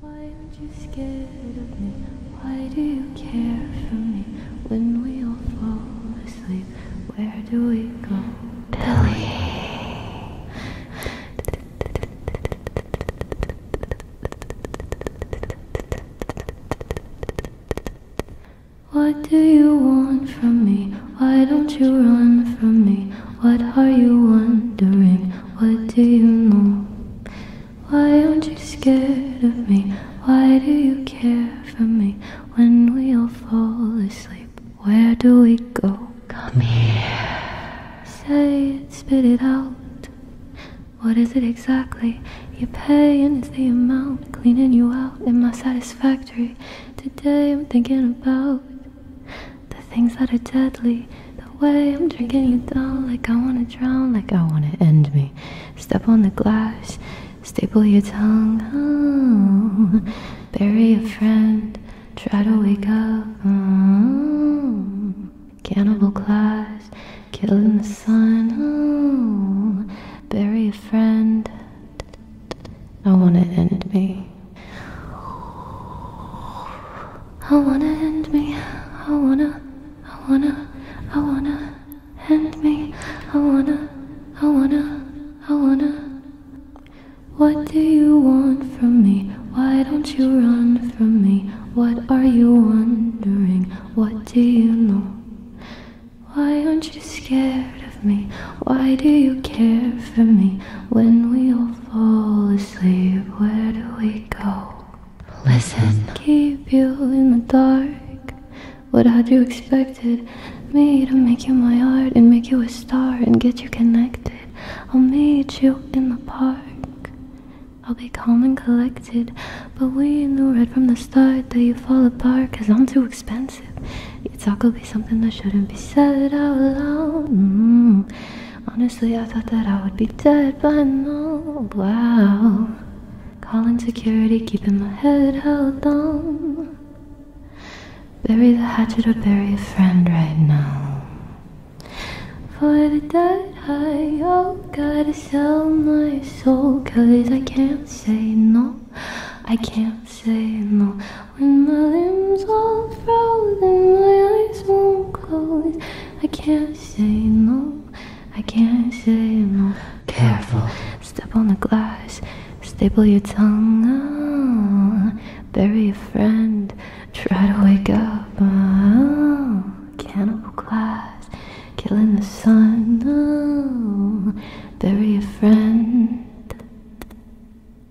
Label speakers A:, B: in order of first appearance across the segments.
A: Why aren't you scared of me? Why do you care for me? When we all fall asleep, where do we go? Billy. What do you want from me? Why don't you run from me? What are you wondering? What do you know? Why aren't you scared of me? Why do you care for me? When we all fall asleep, where do we go? Come here. Say it, spit it out. What is it exactly you're paying? Is the amount cleaning you out? Am I satisfactory? Today I'm thinking about the things that are deadly, the way I'm drinking you down, like I wanna drown, like I wanna end me. Step on the glass, staple your tongue, oh. bury a friend, try to wake up. Oh. Cannibal clash, killing the sun, oh. bury a friend. I wanna end me. I wanna end me. I wanna, I wanna, I wanna end me. I wanna, I wanna, I wanna. What do you want from me? Why don't you run from me? What are you wondering? What do you know? Why aren't you scared of me? Why do you care for me when we all fall asleep, where do we go? Listen. Keep you in the dark. What had you expected? Me to make you my art and make you a star and get you connected. I'll meet you in the park. I'll be calm and collected. But we knew right from the start that you fall apart because I'm too expensive. You talk will be something that shouldn't be said out loud. Mm Honestly, I thought that I would be dead by now. Wow. Calling security, keeping my head held down. Bury the hatchet or bury a friend right now. For the dead, I oh, gotta sell my soul. Cause I can't say no. I can't say no. When my limbs are frozen, my eyes won't close. I can't say no, I can't say no. Careful, step on the glass, staple your tongue. bury a friend, try to wake up. Ah, cannibal class, killing the sun. Ah, bury a friend.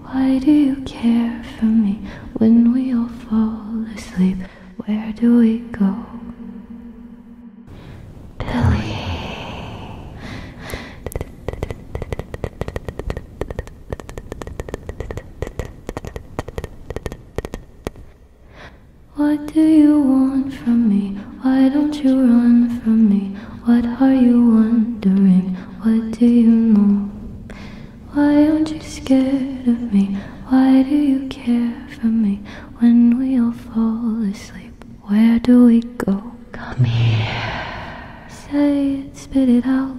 A: Why do you care for me when we all fall asleep? Where do we go? Billy. What do you want from me? Why don't you run from me? What are you wondering? What do you know? Why aren't you scared of me? Why do you care for me? When we all fall asleep, where do we go? Come here. Say it, spit it out.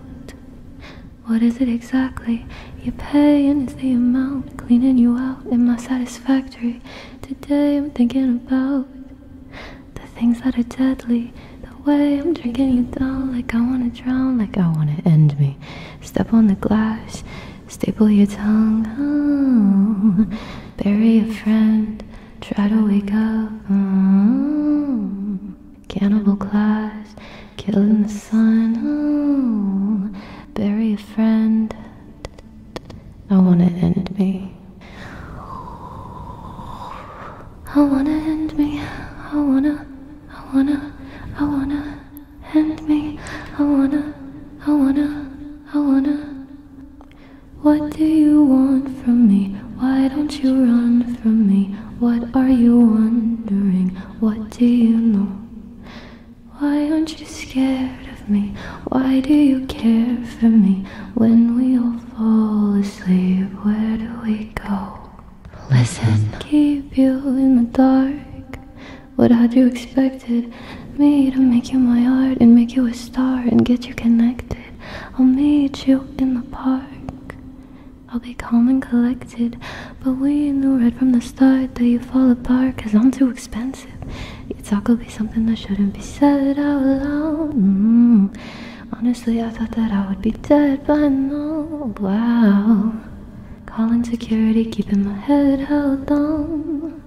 A: What is it exactly? You're paying is the amount, cleaning you out. Am I satisfactory? Today I'm thinking about the things that are deadly way I'm drinking you down like I wanna drown, like I wanna end me. Step on the glass, staple your tongue, oh. bury a friend, try to wake up. Oh. Cannibal class, kill in the sun, oh. bury a friend. I wanna end me. I wanna end me. I wanna. I wanna, I wanna, hand me. I wanna, I wanna, I wanna. What do you want from me? Why don't you run from me? What are you wondering? What do you know? Why aren't you scared of me? Why do you care for me? When we all fall asleep, where do we go? Listen. Keep you in the dark. What had you expected? Me to make you my art and make you a star and get you connected. I'll meet you in the park. I'll be calm and collected. But we knew right from the start that you fall apart because I'm too expensive. Your talk will be something that shouldn't be said out loud. Mm. Honestly, I thought that I would be dead by now. Wow. Calling security, keeping my head held down.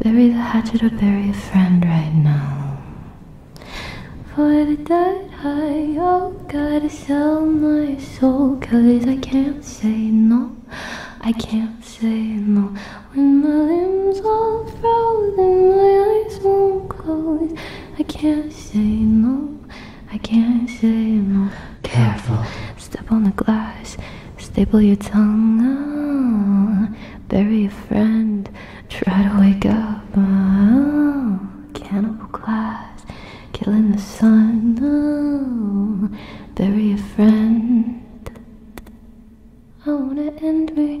A: Bury the hatchet or bury a friend right now. For the dead, I oh, gotta sell my soul. Cause I can't say no. I can't say no. When my limbs are frozen, my eyes won't close. I can't say no, I can't say no. Careful, step on the glass, staple your tongue. bury a friend, try to wake up. Oh, cannibal class, killing the sun. Oh, bury a friend. I wanna end me.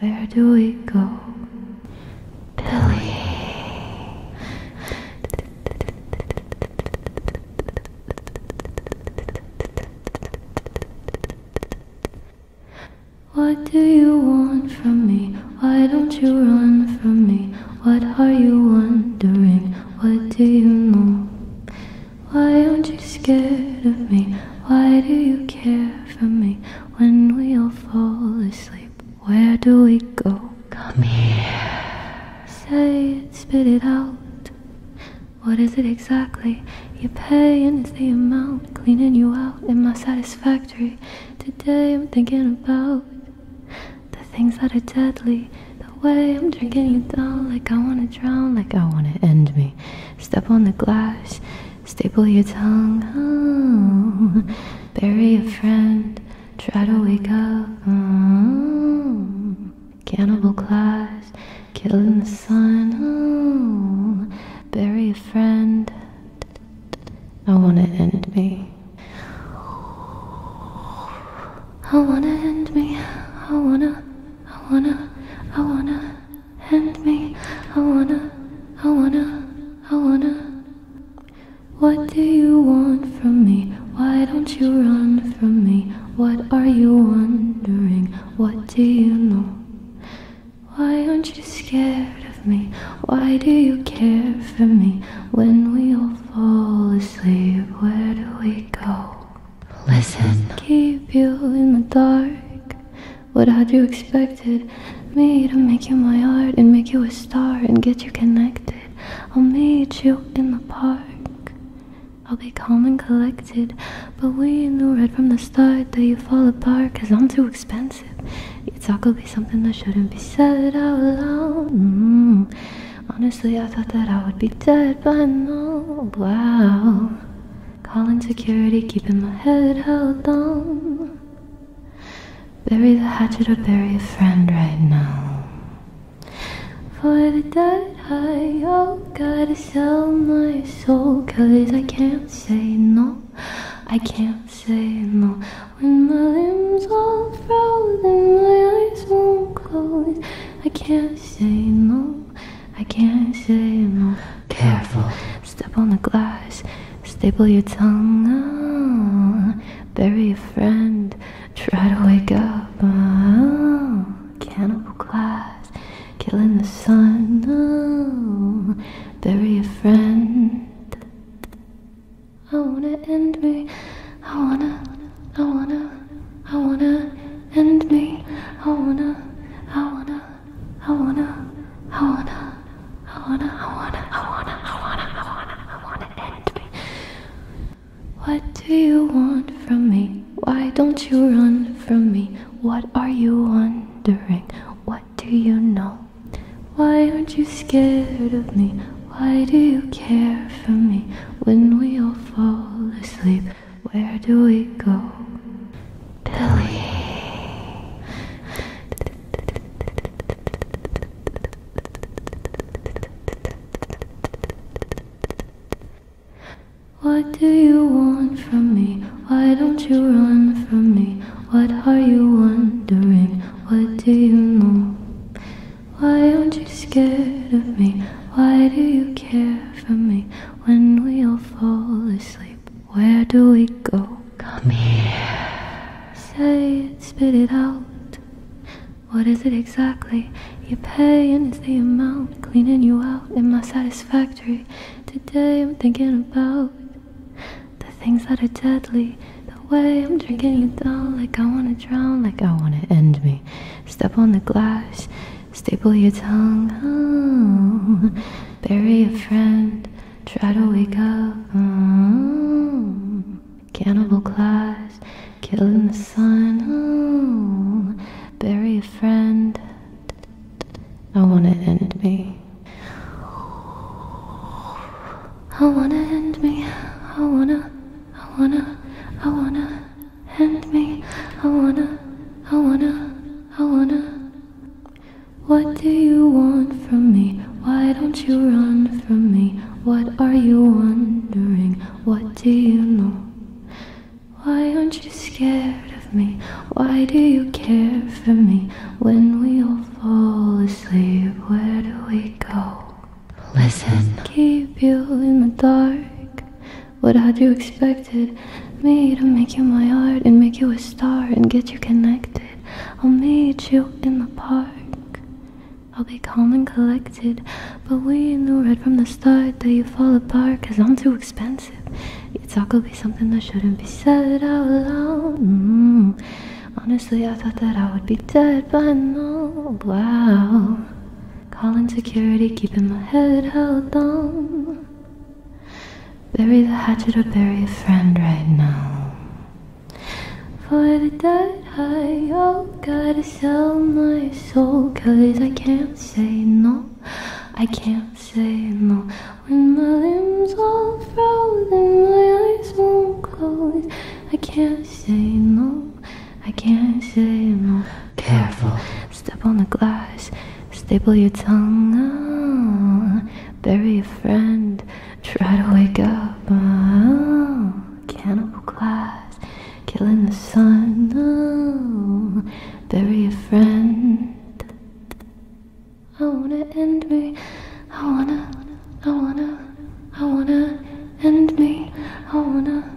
A: Where do we go? Billy. What do you want from me? Why don't you run from me? What are you wondering? What do you know? Why aren't you scared of me? Why do you care for me? When we all fall asleep, where do we go? Come here. Say it, spit it out. What is it exactly you're paying? it's the amount cleaning you out? Am I satisfactory? Today I'm thinking about the things that are deadly. The way I'm drinking you down, like I wanna drown, like I wanna end me. Step on the glass, staple your tongue. Oh, bury a friend, try to wake up. Oh, cannibal class, killing the sun. Oh, bury a friend. I wanna end me. I wanna end me. I wanna, I wanna, I wanna hand me. I wanna, I wanna, I wanna. What do you want from me? Why don't you run from me? What are you wondering? What do you know? Why aren't you scared of me? Why do you care for me? When we all fall asleep, where do we go? Listen. Keep you in the dark. What had you expected? Me to make you my art and make you a star and get you connected. I'll meet you in the park. I'll be calm and collected. But we knew right from the start that you fall apart I'm too expensive. You talk will be something that shouldn't be said out loud. Mm. Honestly, I thought that I would be dead by now. Wow. Calling security, keeping my head held down. Bury the hatchet or bury a friend right now. For the dead, I oh, gotta sell my soul. Cause I can't say no, I can't say no. When my limbs all frozen, my eyes won't close. I can't say no, I can't say no. Careful. Step on the glass. Staple your tongue. Ah, bury a friend. Try to wake up. Oh, cannibal glass. Killing the sun. Ah, bury a friend. I wanna end me. I wanna. I wanna. I wanna end me. I wanna. I wanna. I wanna, I wanna, I wanna, I wanna, I wanna, I wanna, I wanna, I wanna end What do you want from me? Why don't you run from me? What are you wondering? What do you know? Why aren't you scared of me? Why do you care for me when we all fall asleep? Where do we go? Billy. What do you want from me? Why don't you run from me? What are you wondering? What do you know? Why aren't you scared of me? Why do you care for me? when we all fall asleep. Where do we go? Come here. Say it, spit it out. What is it exactly? You're paying is the amount, cleaning you out. Am I satisfactory? Today I'm thinking about the things that are deadly. The way I'm drinking you down, like I wanna drown, like I wanna end me. Step on the glass. Staple your tongue, oh. bury a friend, try to wake up. Oh. Cannibal claws, Killing the sun, oh. bury a friend. I wanna end me. I wanna end me. I wanna, I wanna, I wanna hand me. I wanna, I wanna, I wanna. What do you want from me? Why don't you run from me? What are you wondering? What do you know? Why aren't you scared of me? Why do you care for me? When we all fall asleep, where do we go? Listen. Keep you in the dark. What had you expected? Me to make you my art and make you a star and get you connected. I'll meet you in the park. I'll be calm and collected. But we knew right from the start that you would fall apart cause I'm too expensive. Your talk will be something that shouldn't be said out loud. Mm. Honestly, I thought that I would be dead by now. Wow. Calling security, keeping my head held down. Bury the hatchet or bury a friend right now. For the dead, I all oh gotta sell my soul. Cause I can't say no, I can't say no. When my limbs are frozen, my eyes won't close. I can't say no, I can't say no. Careful. Step on the glass. Staple your tongue. Ah, bury a friend. Try to wake up. Oh, cannibal glass. Killing the sun. Ah, bury a friend. I wanna end me. I wanna. I wanna. I wanna end me. I wanna.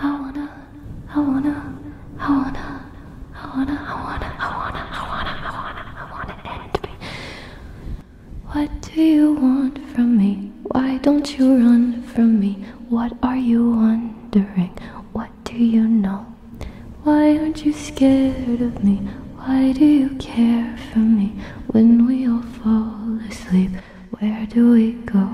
A: I wanna. I wanna, I wanna, I wanna, I wanna, I wanna, I wanna, I wanna, I wanna end me. What do you want from me? Why don't you run from me? What are you wondering? What do you know? Why aren't you scared of me? Why do you care for me? When we all fall asleep, where do we go?